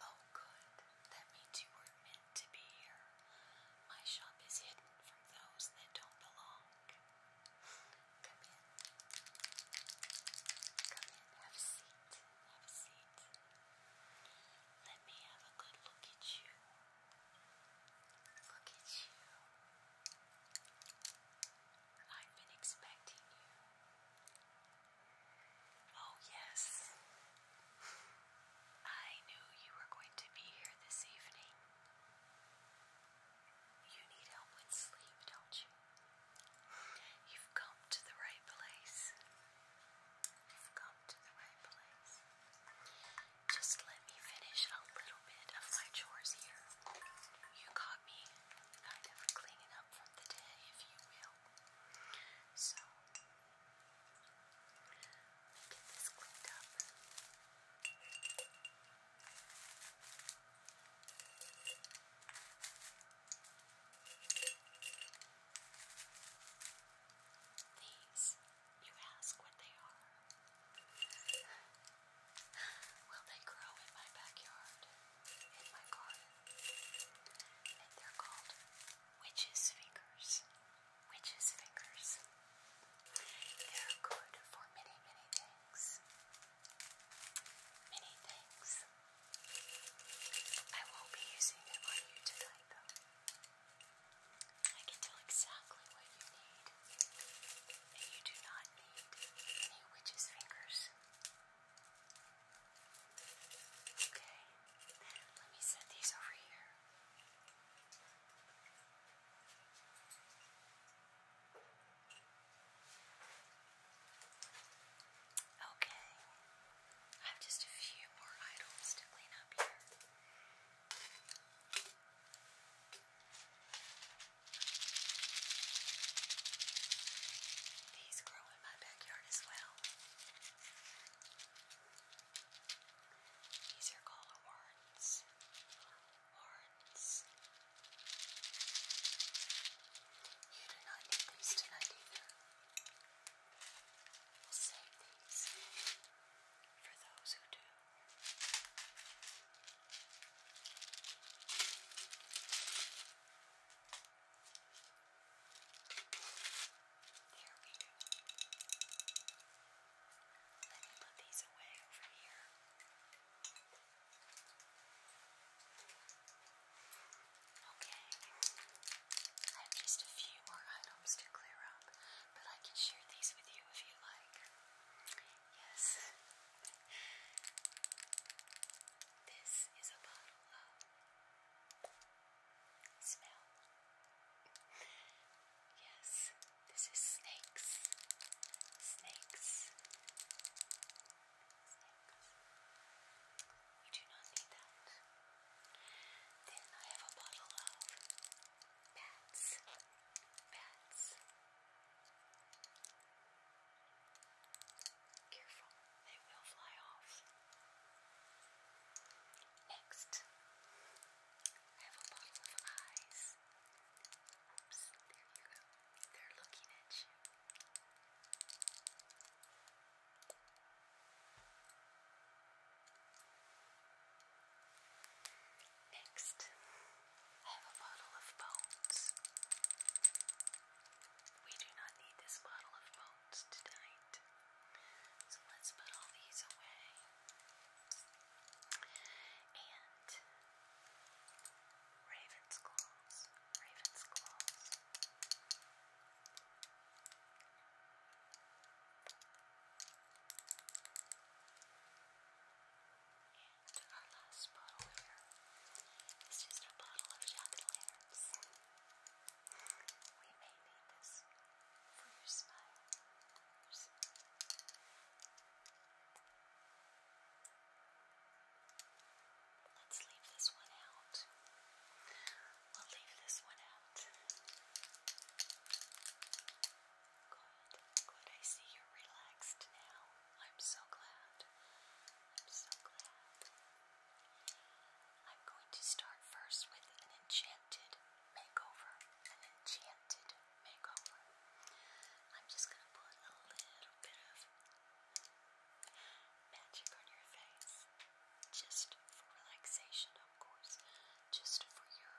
Oh, good. That means you were meant to be here. My shop is hidden from those that don't belong. Come in. Come in. Have a seat. Have a seat. Let me have a good look at you. Look at you. I've been expecting you. Oh, yes. I knew you were going to be here this evening. You need help with sleep, don't you? You've come to the right place. You've come to the right place. Just let me finish a little bit of my chores here. You caught me kind of cleaning up from the day, if you will. So, Get this cleaned up. These, you ask what they are. Will they grow in my backyard, in my garden? And they're called witches' fingers. Witches' fingers. They're good for many, many things. Many things. I won't be using them on you though. I can tell exactly what you need, and you do not need any witches' fingers. Okay, let me set these over here. Okay, I have just a few more items to clean up here. These grow grow in my backyard as well. These are called horns. Horns. You do not need these tonight either. We'll save these for those who do. There we go. Let me put these away over here. Okay. I have just a few more items to clear up, but I can share these with you if you like. Yes. This is a bottle of smell. Yes, this is snakes. Snakes. Snakes. We do not need that. Then I have a bottle of bats. Bats. Careful, they will fly off. Next, I have a bottle of eyes. Oops, there you go. They're looking at you. Next, I have a bottle of bones. We do not need this bottle of bones molds tonight. So let's put all these away. And Raven's claws. Raven's claws. And our last bottle here is just a bottle of jack o we may need this for your smile. Let's leave this one out. We'll leave this one out. Good, good. I see you're relaxed now. I'm so glad. I'm so glad. I'm going to start first with an enchanted makeover. An enchanted makeover. I'm just going to put a little bit of magic on your face. Just for relaxation, of course. Just for your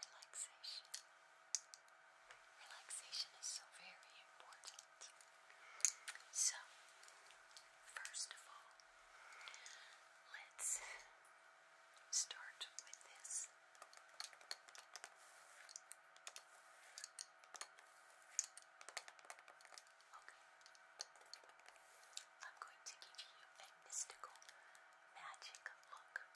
relaxation. Relaxation is so very important. So, first of all, let's start with this. Okay. I'm going to give you mystical magic look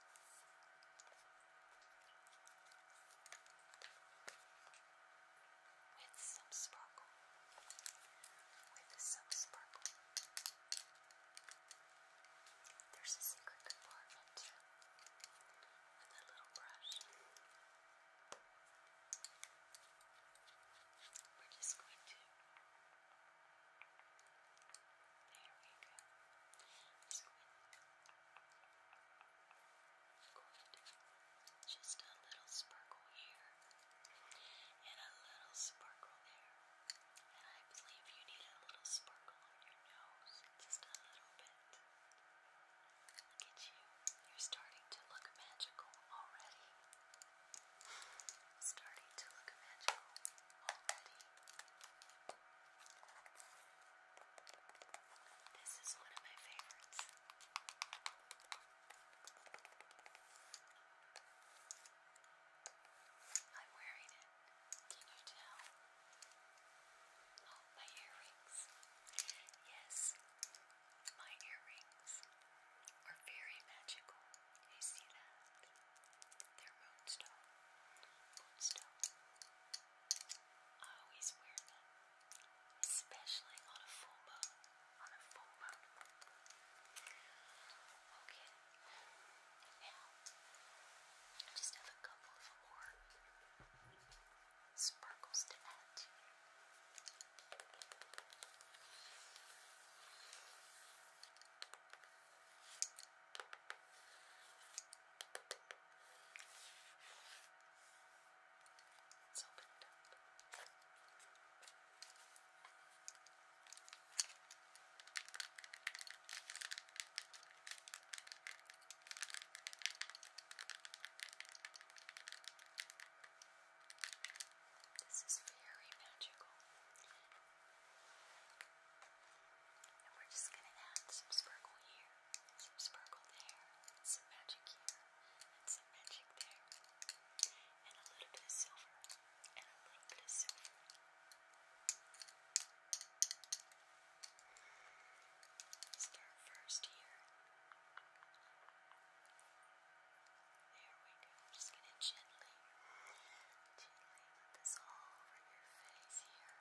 with some sparkle, with some sparkle. There's a secret compartment with a little brush. We're just going to. There we go. Just going to just a little sparkle here and a little sparkle there. And I believe you need a little sparkle on your nose. Just a little bit. Look at you. You're starting to look magical already. Starting to look magical already. This is one of my favorites. I'm wearing it. Can you tell? Oh, my earrings. Yes, my earrings are very magical. You see that? They're moonstone. Moonstone. I always wear them especially on a full moon. On a full boat. Okay. Now, just have a couple of more sparkles to add Let's open it up. This is very magical. And we're just going to add some sparkle here, some sparkle there, some magic here and some magic there, and a little bit of silver, and a little bit of silver. Start first here. There we go. just gonna gently, gently put this all over your face here.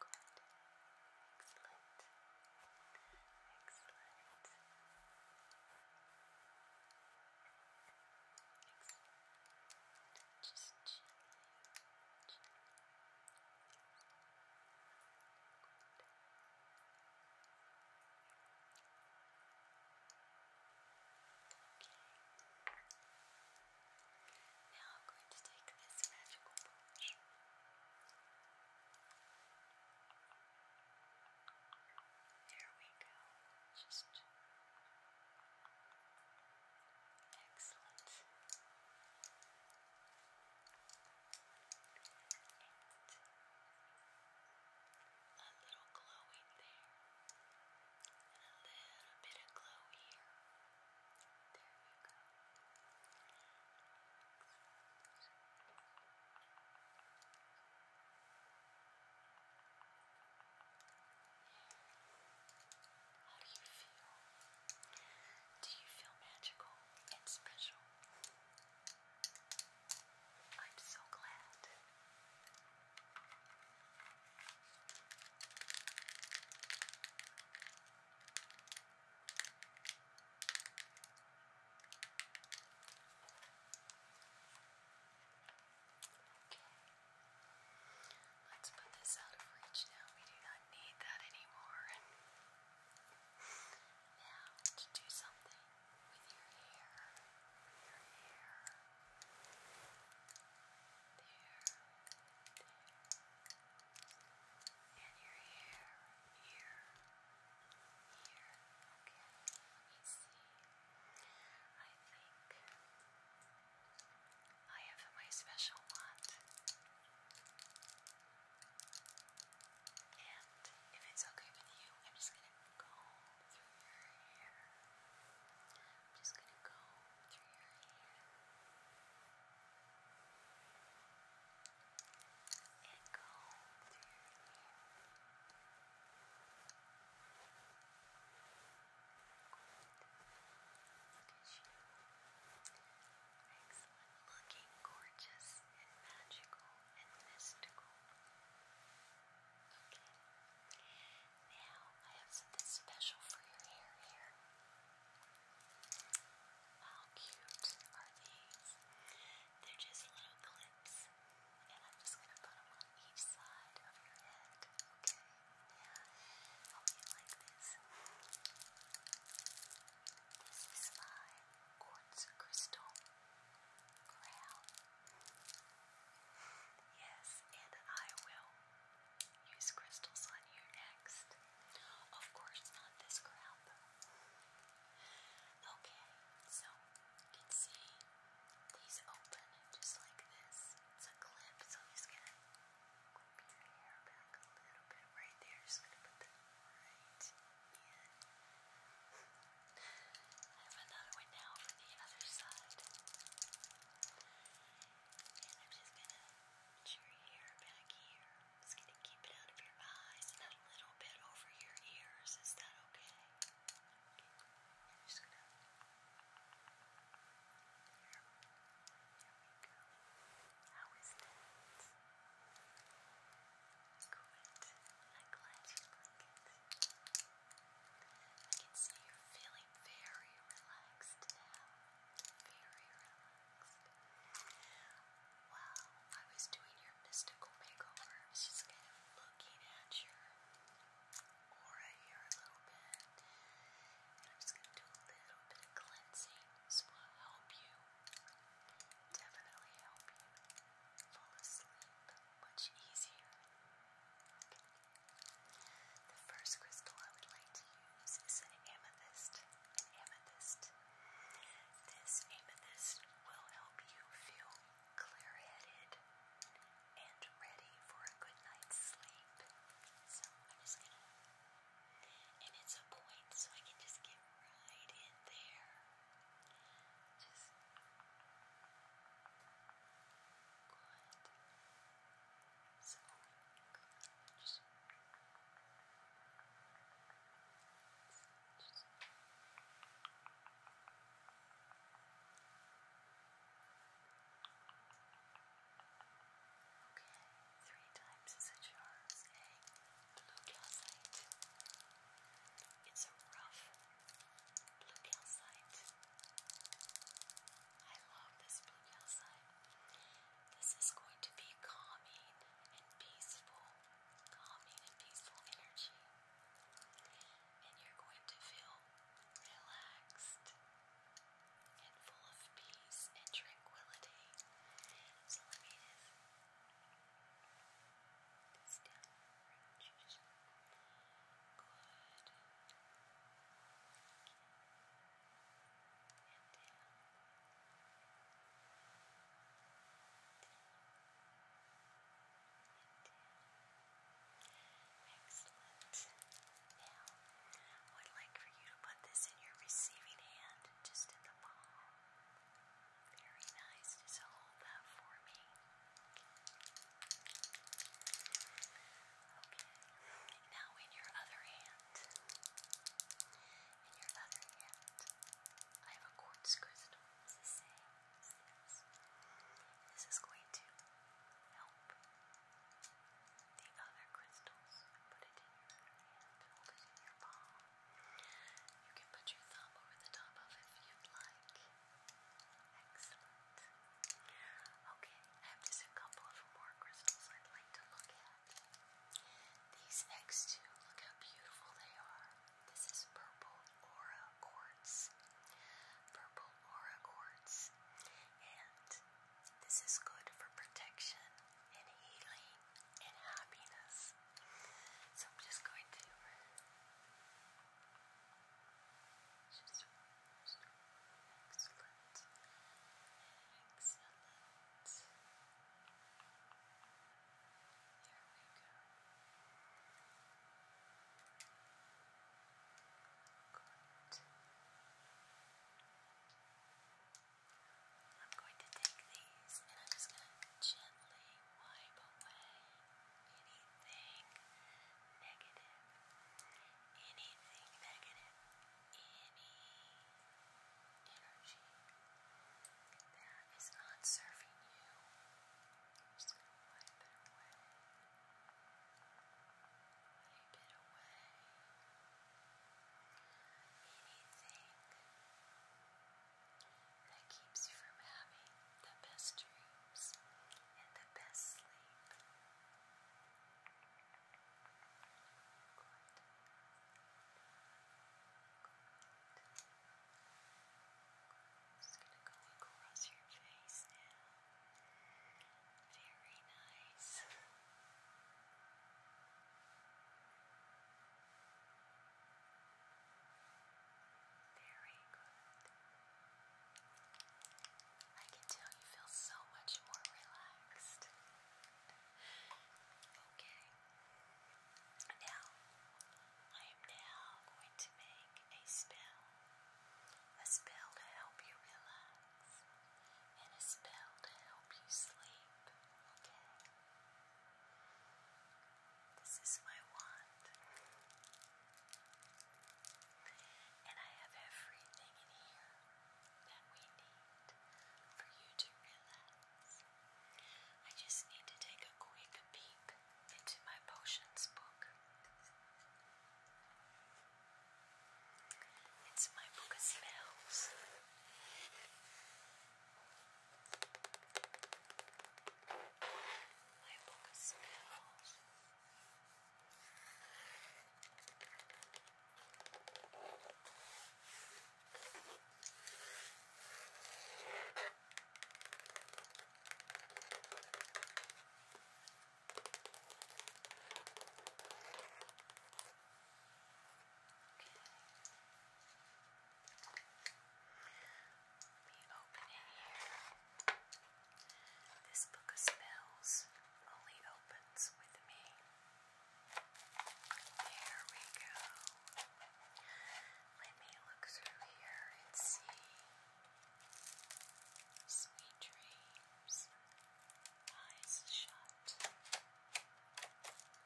Good. Excellent. Excellent. Just chilling. chilling. Okay. Now I'm going to take this magical brush. And there we go. Just excellent. And a little glowing there. And a little bit of glow here. There you go. How do you feel? Do you feel magical and special? I'm so glad. Okay. Let's put this out of reach now. We do not need that anymore. now, to do something with your hair. Your hair. There. There. And your hair here, here. Okay, let me see. I think I have my special wand. And if it's okay with you, I'm just gonna go through your hair. I'm just gonna go through your hair and you. Looking gorgeous and magical and mystical. Okay. Now I have something special for your hair here. How cute are these? They're just little clips, and I'm just going to put them on each side of your head, okay? Yeah. I'll be like this. This is my quartz crystal crown. Yes, and I will use crystals on you next. Of course, not this crown, Okay, so you can see these open just like this. It's a clip, so I'm just gonna clip your hair back a little bit right there. Just gonna put that right in. I have another one now for the other side. And I'm just gonna put your hair back here. Just gonna keep it out of your eyes and a little bit over your ears. Is that okay? I'm just gonna. How is that? Good. I'm glad you like it. I can see you're feeling very relaxed now. Very relaxed list. I was doing your mystical makeover, I was just kind of looking at your aura here a little bit. And I'm just going to do a little bit of cleansing. This will help you, definitely help you fall asleep much easier. The first crystal I would like to use is an amethyst. amethyst this amethyst will help you feel clear headed and ready for a good night's sleep. So I'm just gonna. And it's a point, so I can just get right in there. Just. Good. So, Good. Okay, three times is a charm, blue calcite. It's a rough blue calcite. I love this blue calcite. This is going to be calming and peaceful calming and peaceful energy, and you're going to feel relaxed and full of peace and tranquility. So let me just this down around you just good and down. Excellent. would like for you to put this in your receiving hand, just in the palm. Very nice. Just hold that for me. Okay. Now, in your other hand. In your other hand. I have a quartz crystal, This is going to help the other crystals. Put it in your hand, hold it in your palm. You can put your thumb over the top of it if you'd like. Excellent. Okay, I have just a couple of more crystals I'd like to look at. These next two, look how beautiful they are. This is purple aura quartz. Purple aura quartz. And this is good for protection and healing and happiness. So I'm just going to just excellent. Excellent. There we go. Good. I'm going to take these and I'm just going to gently wipe away anything negative, anything negative, any energy that is not serving you. I'm just going to it away. Anything that keeps you from having the best dreams and the best sleep. Just gonna go across your face now. Very nice. Very good. I can tell you feel so much more relaxed. Okay. Now, I am now going to make a spell. A spell to help you relax. And a spell to help you sleep. Okay? This is my wand. And I have everything in here that we need for you to relax. I just need to take a quick peek into my potions book. It's my book of spells. My book of spells. Let me open it here. This book of spells only opens with me. There we go. Let me look through here and see. Sweet dreams. Eyes shut.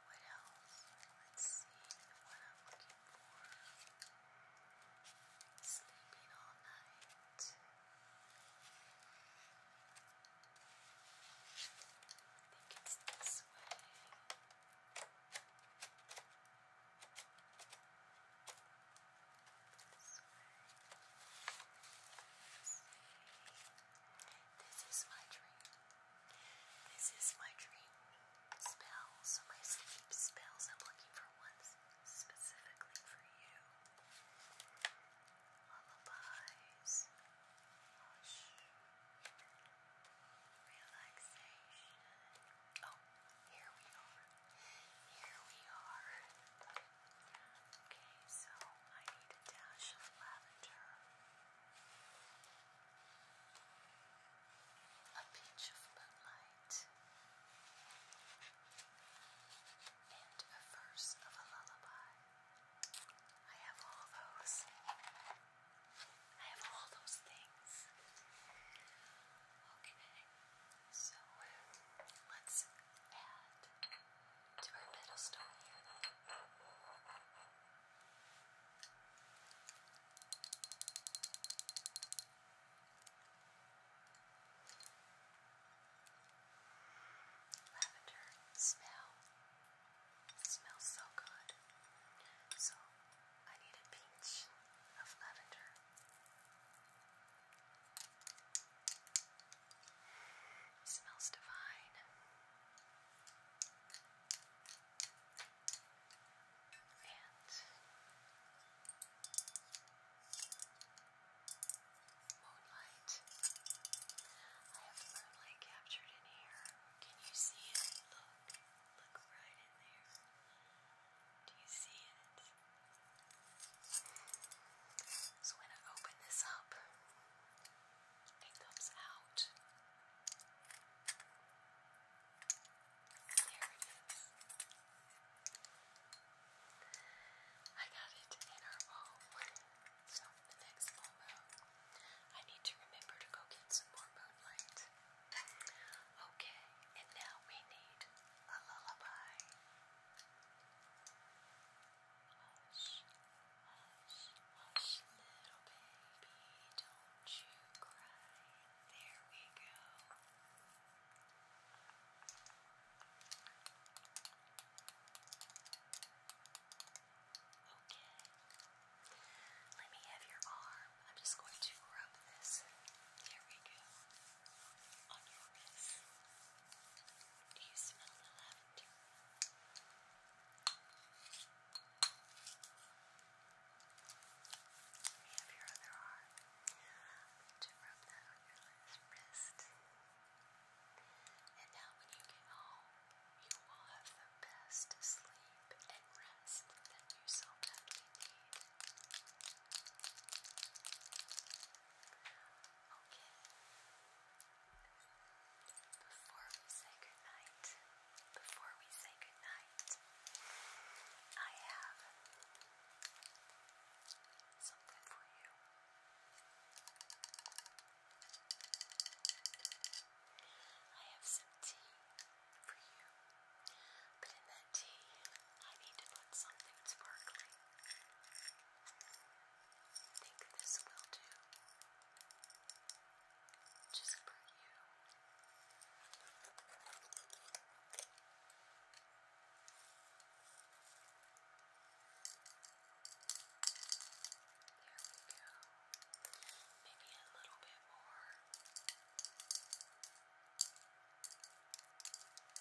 What else? Let's see the I'm looking for. Sleeping all night. think it's this way. This is my dream. This is my dream spell. So my sleep spells, I'm looking for ones specifically for you. Lullabies. Hush relaxation. Oh, here we are. Here we are. Okay, so I need a dash of lavender, a pinch of moonlight, and a verse of a lullaby. I have all those. I have all those things. Okay, so let's add to our middle stone Lavender smell it smells so good. So I need a pinch of lavender. smells divine. And moonlight. I have moonlight captured in here. Can you see it? Look. Look right in there. Do you see it? So when I open this up, it comes out. There it is. I got it in our bowl. So the next bowl. I need to remember to go get some more moonlight. Okay, and now we need a lullaby. Hush, hush, hush, little baby, don't you cry. There we go. Okay. Let me have your arm. I'm just going to rub this. There we go. On your wrist. Do you smell the lavender? Let me have your other arm. To rub that on your wrist. And now when you get home, you will have the best sleep and rest that you so badly need. Okay. Before we say goodnight, before we say goodnight, I have something for you. I have some tea for you, but in that tea, I need to put something sparkling. I think this will do. Just for you. There we go. Maybe a little bit more. Okay. And I'm going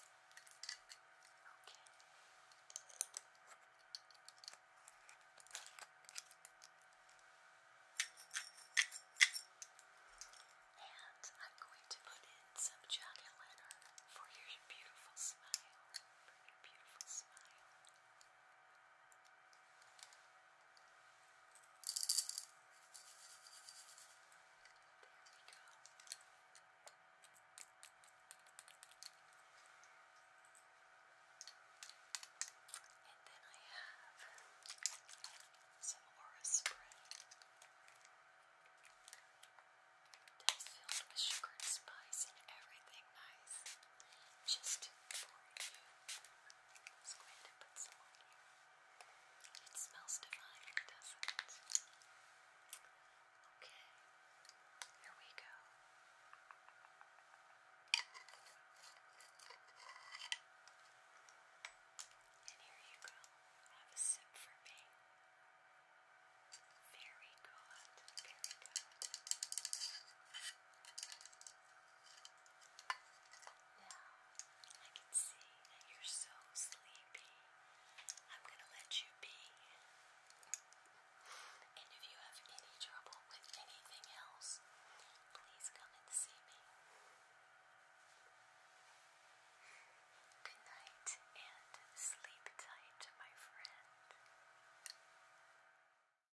to put in some jack o' for your beautiful smile. For your beautiful smile. And then I have some aura spray that's filled with sugar and spice and everything nice just for you. Let's go It smells divine, doesn't it? Okay, here we go. And here you go. Have a sip for me. very good. Now, I can see that you're so sleepy. I'm going to let you be. And if you have any trouble with anything else, please come and see me. Good night and sleep tight, my friend.